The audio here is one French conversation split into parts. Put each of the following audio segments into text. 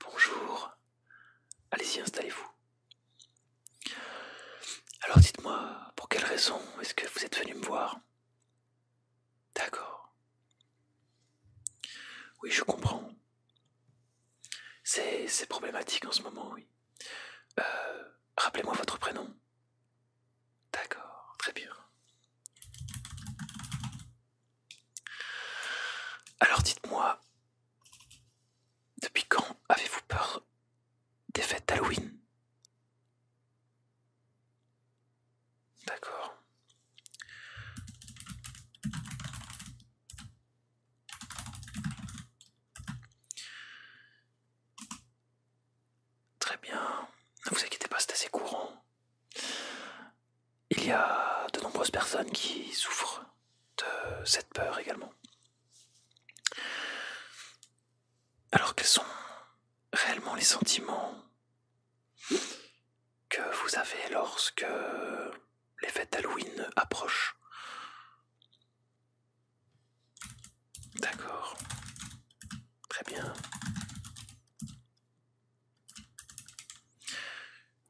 Bonjour, allez-y, installez-vous. Alors dites-moi, pour quelle raison est-ce que vous êtes venu me voir D'accord. Oui, je comprends. C'est problématique en ce moment, oui. Euh, rappelez-moi votre prénom. D'accord, très bien. Alors dites-moi, depuis quand avez-vous peur des fêtes d'Halloween D'accord. Très bien, ne vous inquiétez pas, c'est assez courant. Il y a de nombreuses personnes qui souffrent de cette peur également. Alors quels sont réellement les sentiments que vous avez lorsque les fêtes d'Halloween approchent D'accord. Très bien.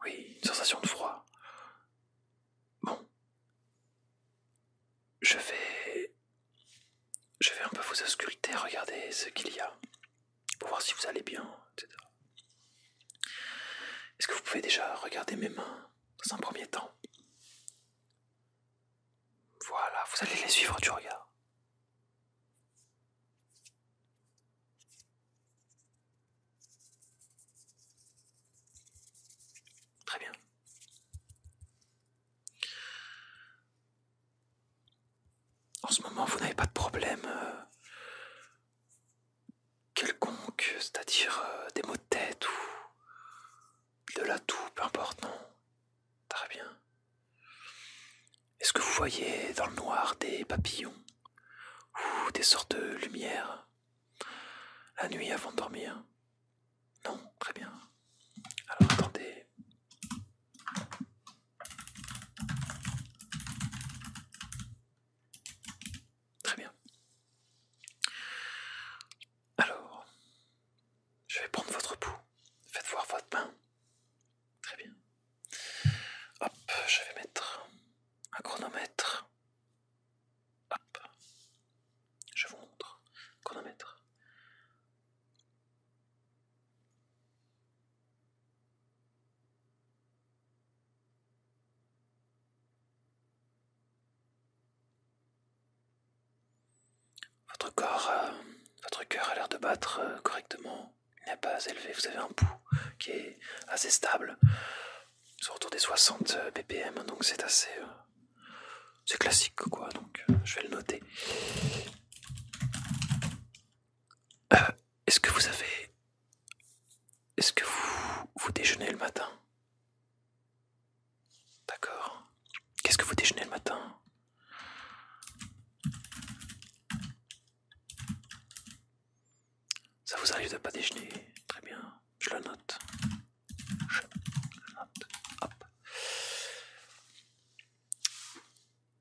Oui, une sensation de froid. Bon. Je vais... Je vais un peu vous ausculter, regarder ce qu'il y a, pour voir si vous allez bien, etc. Est-ce que vous pouvez déjà regarder mes mains dans un premier temps Voilà, vous allez les suivre du regard. Très bien. En ce moment, vous n'avez pas de problème euh, quelconque, c'est-à-dire euh, des mots de tête ou de la toux, peu importe, Très bien. Est-ce que vous voyez dans le noir des papillons ou des sortes de lumières la nuit avant de dormir Non, très bien. Alors attendez. Très bien. Alors, je vais prendre votre pouls. Faites voir votre main. Très bien. Hop, je vais mettre un chronomètre. Hop, je vous montre. Chronomètre. Votre corps, euh, votre cœur a l'air de battre euh, correctement il a pas élevé. Vous avez un pouls qui est assez stable, c'est autour des 60 BPM, euh, donc c'est assez. Euh, c'est classique quoi, donc euh, je vais le noter. Est-ce que vous avez. Est-ce que vous, vous déjeunez le matin D'accord. Qu'est-ce que vous déjeunez le matin ça vous arrive de pas déjeuner Très bien, je le note. Je le note. Hop.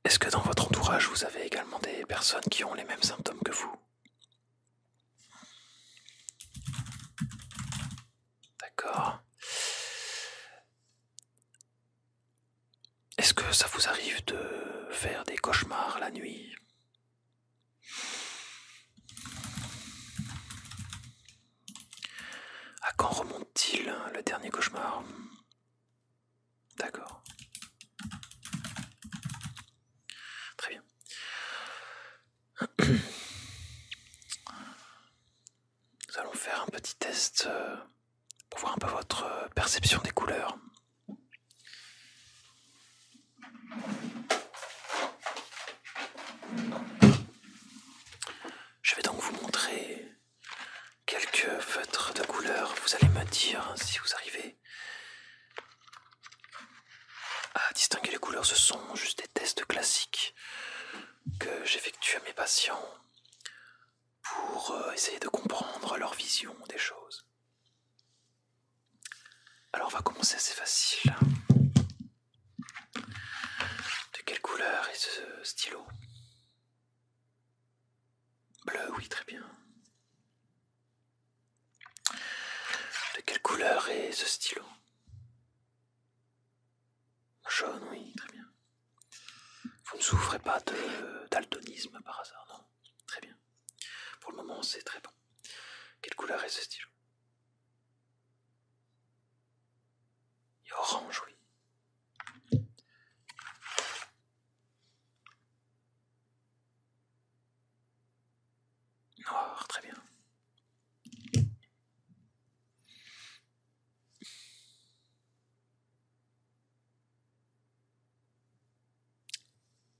Est-ce que dans votre entourage, vous avez également des personnes qui ont les mêmes symptômes que vous D'accord. Est-ce que ça vous arrive de faire des cauchemars la nuit À quand remonte-t-il hein, le dernier cauchemar D'accord. Très bien. Nous allons faire un petit test euh, pour voir un peu votre euh, perception des couleurs. Je vais donc vous montrer quelques feutres de couleurs. Vous allez me dire si vous arrivez à distinguer les couleurs. Ce sont juste des tests classiques que j'effectue à mes patients pour euh, essayer de comprendre leur vision des choses. Alors on va commencer assez facile. De quelle couleur est ce stylo Bleu, oui, très bien. De quelle couleur est ce stylo Jaune, oui, très bien. Vous ne souffrez pas de daltonisme par hasard, non Très bien. Pour le moment, c'est très bon. Quelle couleur est ce stylo orange, oui. Noir, très bien.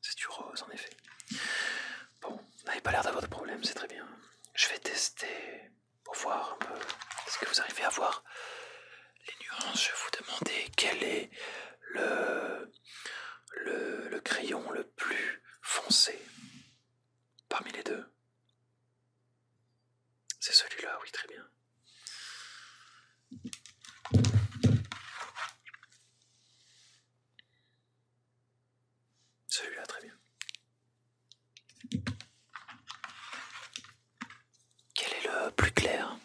C'est du rose en effet. Bon, vous n'avez pas l'air d'avoir de problème, c'est très bien. Je vais tester pour voir un peu ce que vous arrivez à voir. Les nuances, je vais vous demander quel est le crayon le plus foncé parmi les deux. C'est celui-là, oui, très bien. Celui-là, très bien. Quel est le plus clair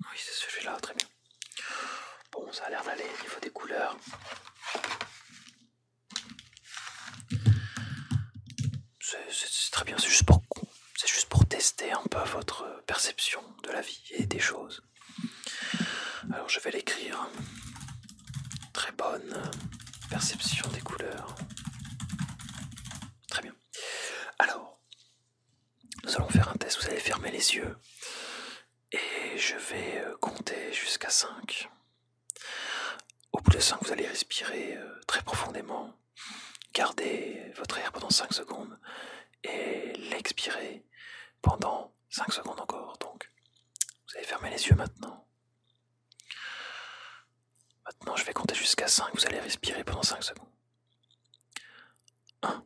Oui, c'est celui-là, très bien. Bon, ça a l'air d'aller au niveau des couleurs c'est très bien, c'est juste, pour, tester un peu votre perception de la vie et des choses. Alors je vais l'écrire. Très bonne perception des couleurs. Très bien. Alors, nous allons faire un test. Vous allez fermer les yeux. Et je vais euh, compter jusqu'à 5. Au bout de 5, vous allez respirer euh, très profondément. Gardez votre air pendant 5 secondes et l'expirer pendant 5 secondes encore. Donc, vous allez fermer les yeux maintenant. Maintenant, je vais compter jusqu'à 5. Vous allez respirer pendant 5 secondes. 1,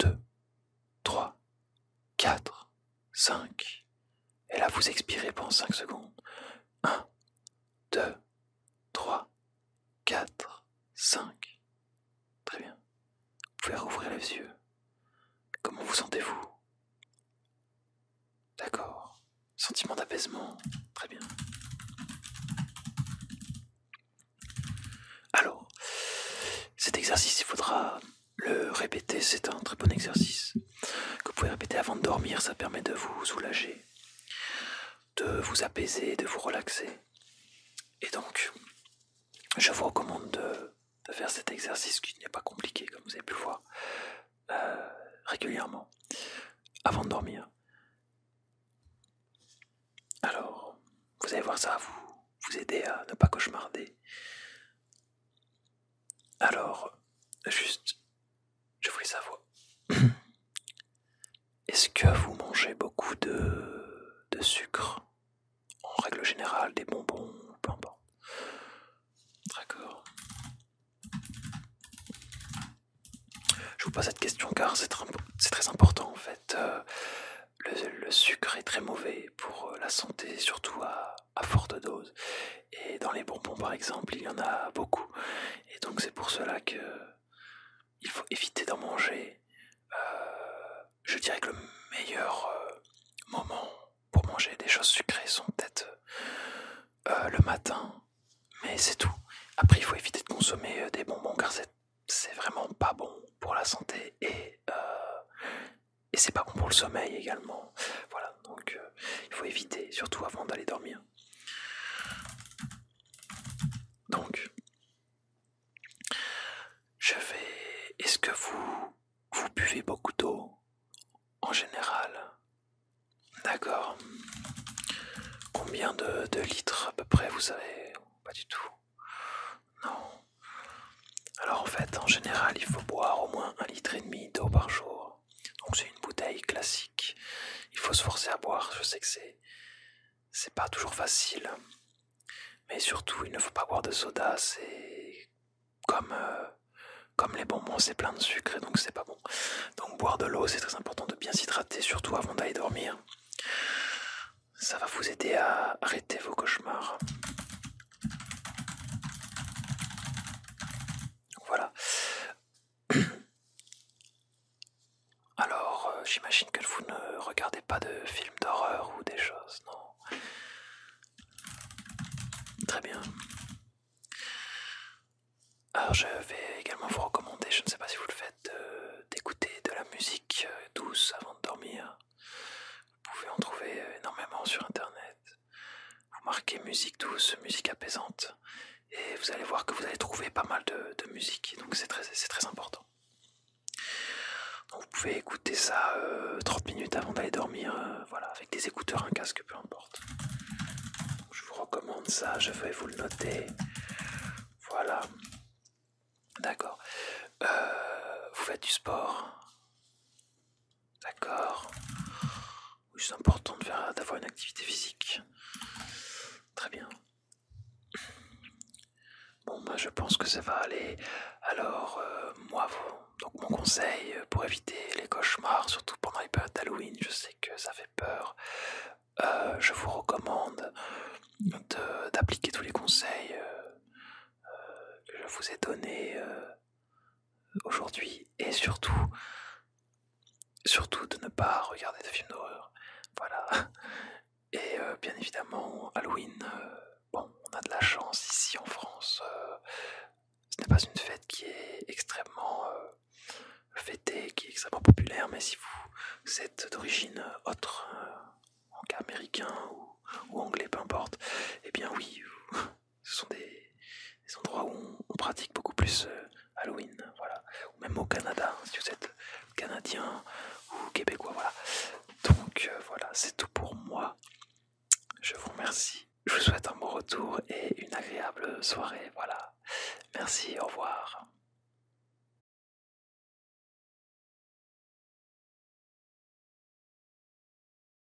2, 3, 4, 5. Et là, vous expirez pendant 5 secondes. 1, 2, 3, 4, 5. Très bien. Vous pouvez rouvrir les yeux. Comment vous sentez-vous D'accord. Sentiment d'apaisement. Très bien. Alors, cet exercice, il faudra le répéter. C'est un très bon exercice que vous pouvez répéter avant de dormir, ça permet de vous soulager, de vous apaiser, de vous relaxer. Et donc, je vous recommande de, faire cet exercice qui n'est pas compliqué, comme vous avez pu le voir, euh, régulièrement, avant de dormir. Alors, vous allez voir ça, vous vous aider à ne pas cauchemarder. Alors, juste, je voulais savoir. Est-ce que vous mangez beaucoup de, sucre En règle générale, des bonbons, peu D'accord. Je vous pose cette question car c'est très, important en fait. Euh, le, sucre est très mauvais pour euh, la santé, surtout à à forte dose. Et dans les bonbons, par exemple, il y en a beaucoup. Et donc c'est pour cela que il faut éviter d'en manger. Euh, je dirais que le meilleur euh, moment pour manger des choses sucrées sont peut-être euh, le matin, mais c'est tout. Après, il faut éviter de consommer des bonbons car c'est vraiment pas bon pour la santé et, et c'est pas bon pour le sommeil également. Voilà, donc euh, il faut éviter, surtout avant d'aller dormir. Donc, je vais... Est-ce que vous... buvez beaucoup d'eau en général D'accord. Combien de, litres à peu près, vous avez Pas du tout. Non. Alors en fait, en général, il faut boire au moins un litre et demi d'eau par jour. Donc c'est une bouteille classique. Il faut se forcer à boire. Je sais que c'est pas toujours facile. Mais surtout, il ne faut pas boire de soda. C'est comme euh, comme les bonbons, c'est plein de sucre et donc c'est pas bon. Donc boire de l'eau, c'est très important de bien s'hydrater, surtout avant d'aller dormir. Ça va vous aider à arrêter vos cauchemars. Voilà. Alors, euh, j'imagine que vous ne regardez pas de films d'horreur ou des choses, non Très bien. Alors, je vais également vous recommander, je ne sais pas si vous le faites, euh, d'écouter de la musique euh, douce avant de dormir. Vous pouvez en trouver énormément sur Internet. Vous marquez musique douce, musique apaisante, et vous allez voir que vous allez trouver pas mal de, musique, donc c'est très, important. vous pouvez écouter ça 30 euh, minutes avant d'aller dormir, euh, voilà, avec des écouteurs, un casque, peu importe. je vous recommande ça, je vais vous le noter. Voilà. D'accord. Euh, vous faites du sport D'accord. Oui, c'est important d'avoir une activité physique. Très bien. Bon, bah, je pense que ça va aller. Alors, euh, moi, donc mon conseil euh, pour éviter les cauchemars, surtout pendant les périodes d'Halloween, je sais que ça fait peur. Euh, je vous recommande d'appliquer tous les conseils que je vous ai donnés aujourd'hui et surtout, surtout de ne pas regarder de films d'horreur. Voilà. Et euh, bien évidemment, Halloween, euh, bon, on a de la chance ici en France. Euh, ce n'est pas une fête qui est extrêmement fêtée, qui est extrêmement populaire, mais si vous êtes d'origine autre, en cas américain ou, anglais, peu importe, et eh bien oui, ce sont des, endroits où on, pratique beaucoup plus euh, Halloween, voilà. Ou même au Canada, hein, si vous êtes canadien ou québécois, voilà. Donc euh, voilà, c'est tout pour moi. Je vous remercie. Je vous souhaite un bon retour et une agréable soirée, voilà. Merci, au revoir.